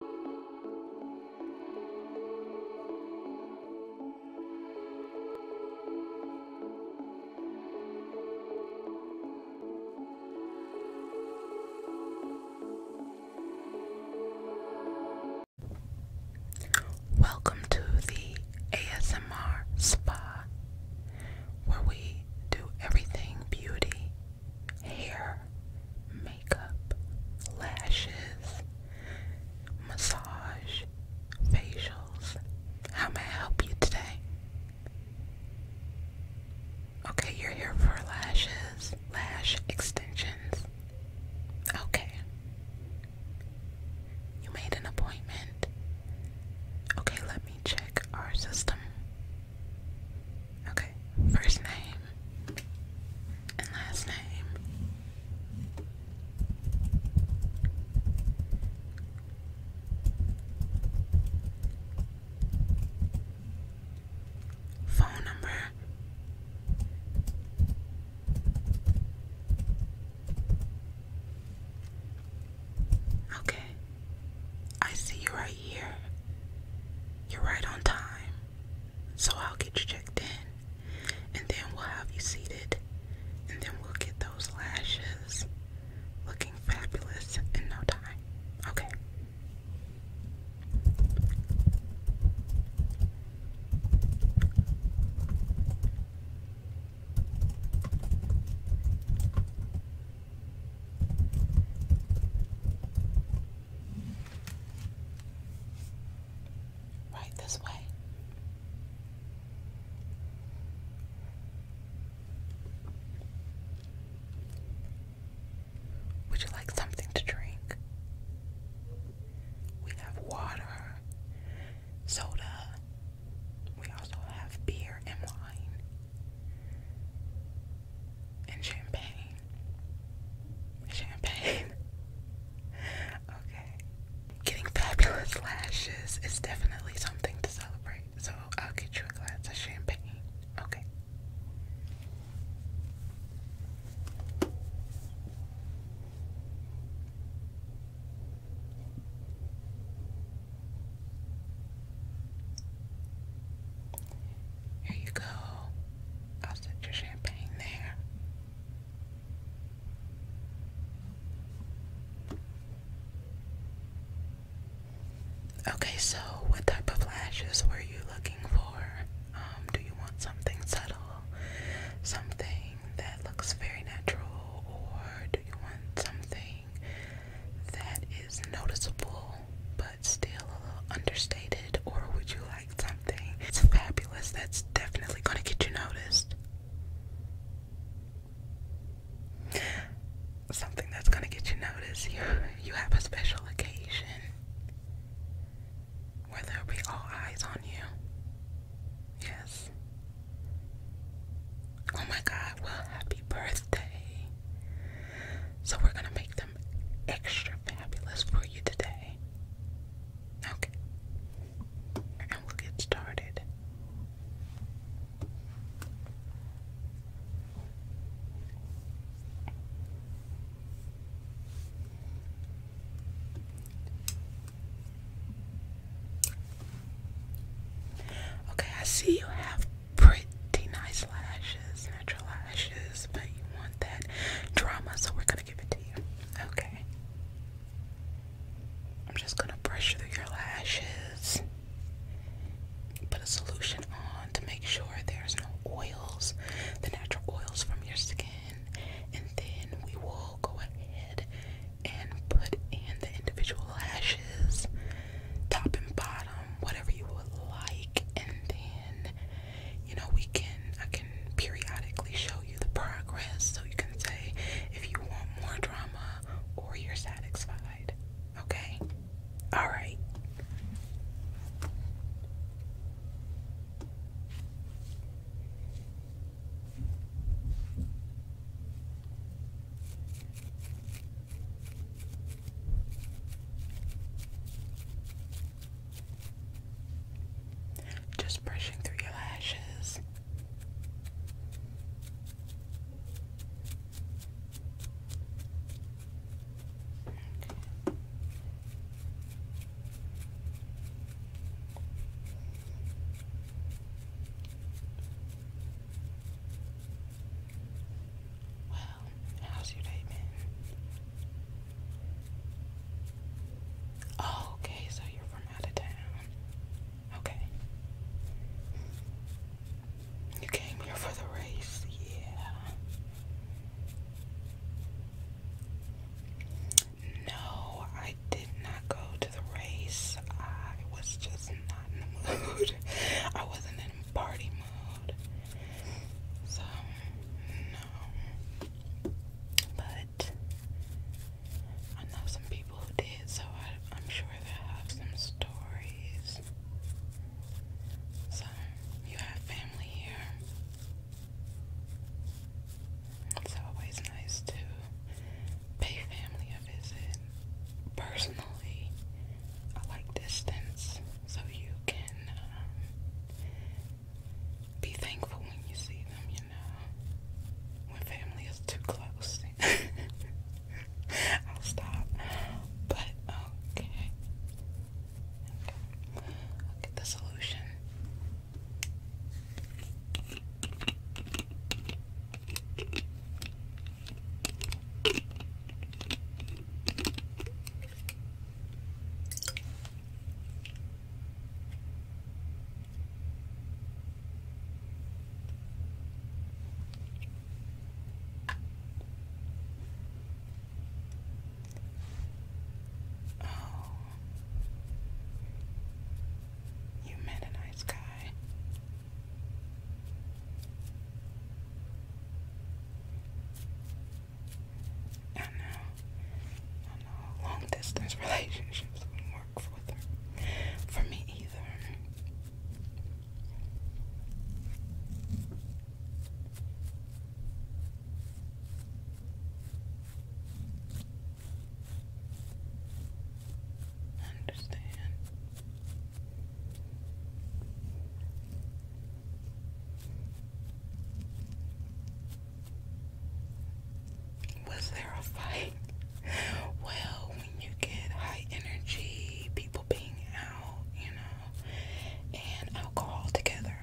Welcome to the ASMR Spa, where we do everything beauty hair, makeup, lashes, massage, facials. How may I help you today? Okay, you're here for lashes, lash extensions. Okay. You made an appointment. Okay, let me check our system. Okay, first name and last name. Phone number. Okay, I see you right here. You're right on time. So I'll get you checked in, and then we'll have you seated, and then we'll get those lashes looking fabulous in no time. Okay. Right this way. Would you like something to drink? We have water, soda. We also have beer and wine and champagne. Champagne. okay. Getting fabulous lashes is definitely something to celebrate. So I'll get you a glass of champagne. Okay. Here you go. I'll set your champagne there. Okay, so what type of lashes were you looking for? Um, do you want something subtle? Something that looks very natural? Or do you want something that is noticeable? but still a little understated? Or would you like something it's fabulous that's definitely going to get you noticed? Something that's going to get you noticed. You, you have a special occasion where there'll be all eyes on you. Yes. Oh my god, well, happy birthday. So, we're gonna make the extra fabulous for you today. Okay. And we'll get started. Okay, I see you have pretty nice lashes, natural lashes, but you want that drama, so we're gonna give it to you. Okay. I'm just gonna brush through your lashes. Put a solution on to make sure there's no oils, the natural oils from your skin, and then we will go ahead and put in the individual lashes, top and bottom um, whatever you would like, and then you know we can I can periodically show you the progress so you can say if you want more drama or you're satisfied. Okay? All right. Just brushing through your lashes. Okay how's your day been? Oh, okay, so you're from out of town. Okay. You came here for the race, yeah. No, I did not go to the race. I was just not in the mood. I wasn't in party so, no. But I know some people who did, so I'm sure they have some stories. So, you have family here. It's always nice to pay family a visit uh, personally. I like distance so you can um, be thankful when you see them, you know. When family is too close, I'll stop. But okay. Okay. I'll get the solution. Oh, you met a nice guy. I do know. I know. Long distance relationships wouldn't work for them. For me either. understand. Was there a fight? Well, when you get high energy, people being out, you know, and alcohol together,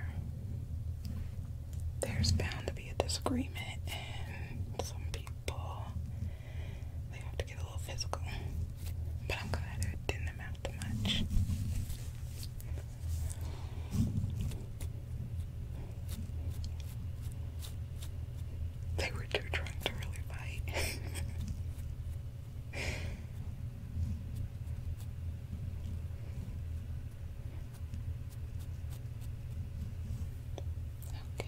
there's bound to be a disagreement, and some people they have to get a little physical. But I'm glad it didn't amount to much. They were too drunk to really fight. Okay.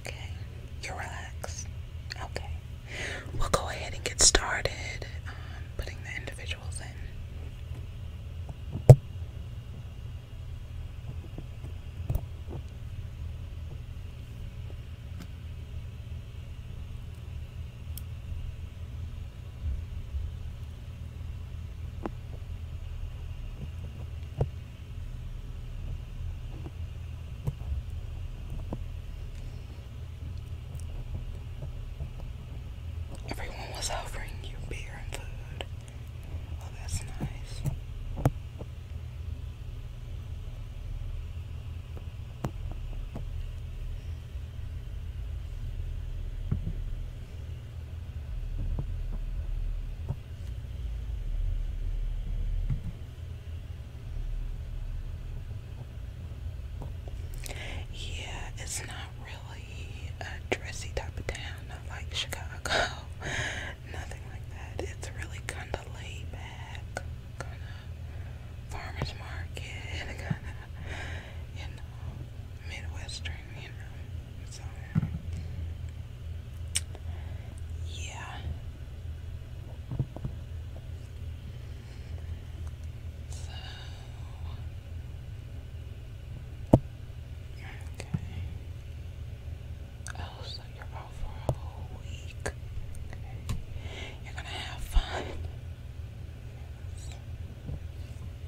Okay, you relax. Okay, we'll go ahead and get started um, putting the individuals in. Everyone was offering you beer and food. Oh, that's nice. Yeah, it's not really a dressy type of town, not like Chicago, nothing like that. It's really kind of laid back, kind of farmer's market, kind of, you know, Midwestern, yeah. So. Okay. Oh, so you're out for a whole week. You're gonna have fun.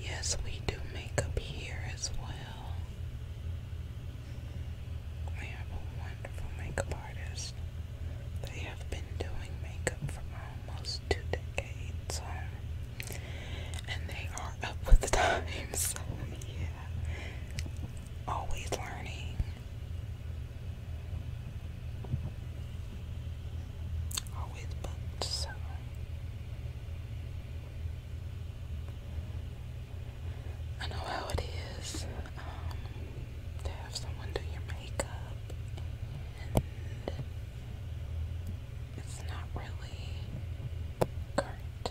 Yes, we do makeup here as well. We have a wonderful makeup artist. They have been doing makeup for my almost two decades, um, and they are up with the times. yeah, always learning, always booked. So. I know how it is um, to have someone do your makeup it's not really current.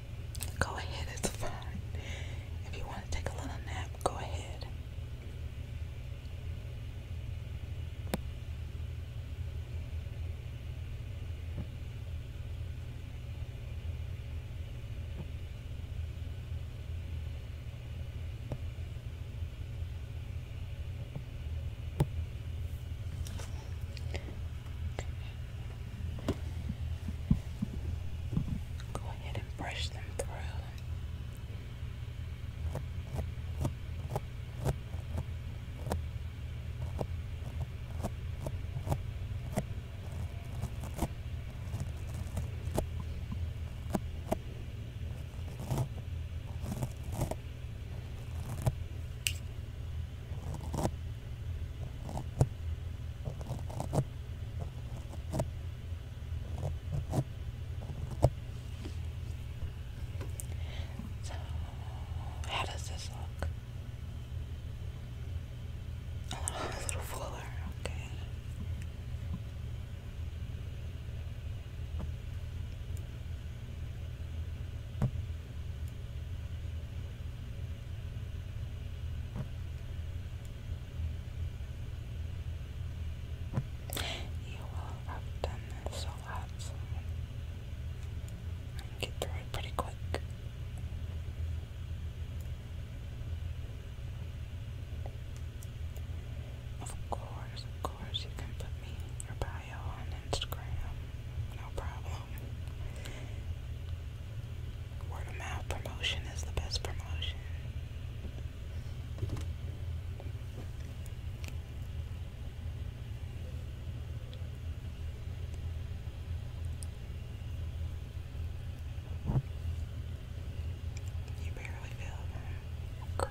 Go ahead, it's fine. If you want to take a little nap, go ahead. Go ahead and brush them through. So, how does this look? A little, fuller, okay. You will have done this a lot get through it pretty quick. Of course, of course, you can put me your bio on Instagram. No problem word of mouth promotion is the best promotion. You barely feel great.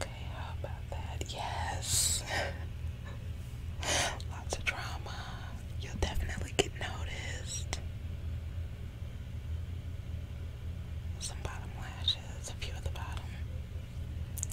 Okay, how about that? Yes. Lots of drama. You'll definitely get noticed. Some bottom lashes, a few at the bottom.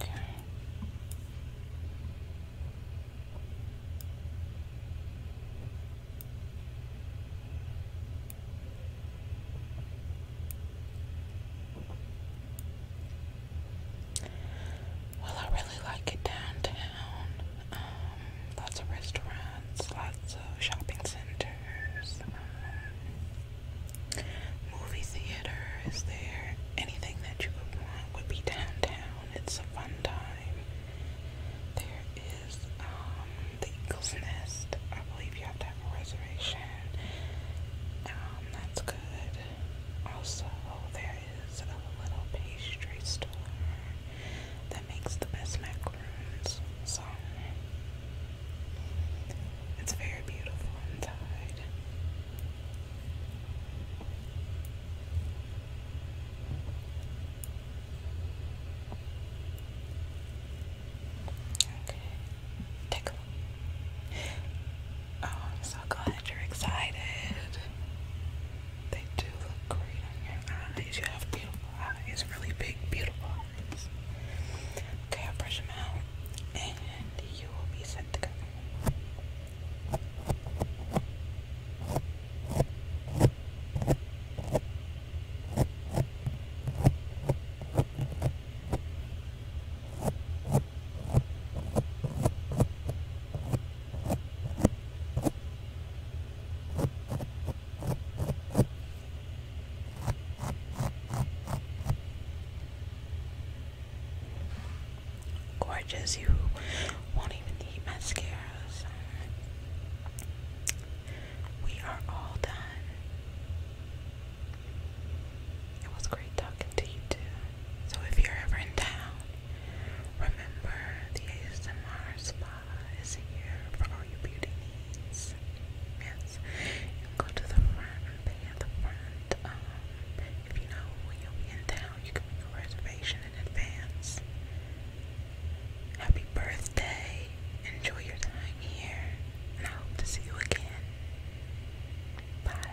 Okay. Well, I really like it downtown. Um, lots of restaurants, lots of shopping centers pictures, movie theater is there. Anything that you would want would be downtown. It's a fun time. There is um, the Eagle's Nest. I believe you have to have a reservation. Um, that's good. Also, there is a little pastry store that makes the best macaroons. So, it's very beautiful inside. Okay, take a look. Oh, so glad you're excited. They do look great on your eyes. You have beautiful eyes, really big, beautiful eyes. Okay, I'll brush them out and you will be set to go. Gorgeous, you won't even need mascaras. We are all done. It was great talking to you too. So if you're ever in town, remember the ASMR spot is here for all your beauty needs. Yes, go to the front, they have the front. Um, if you know when will be in town, you can make a reservation in advance. Happy birthday! Enjoy your time here, and I hope to see you again. Bye.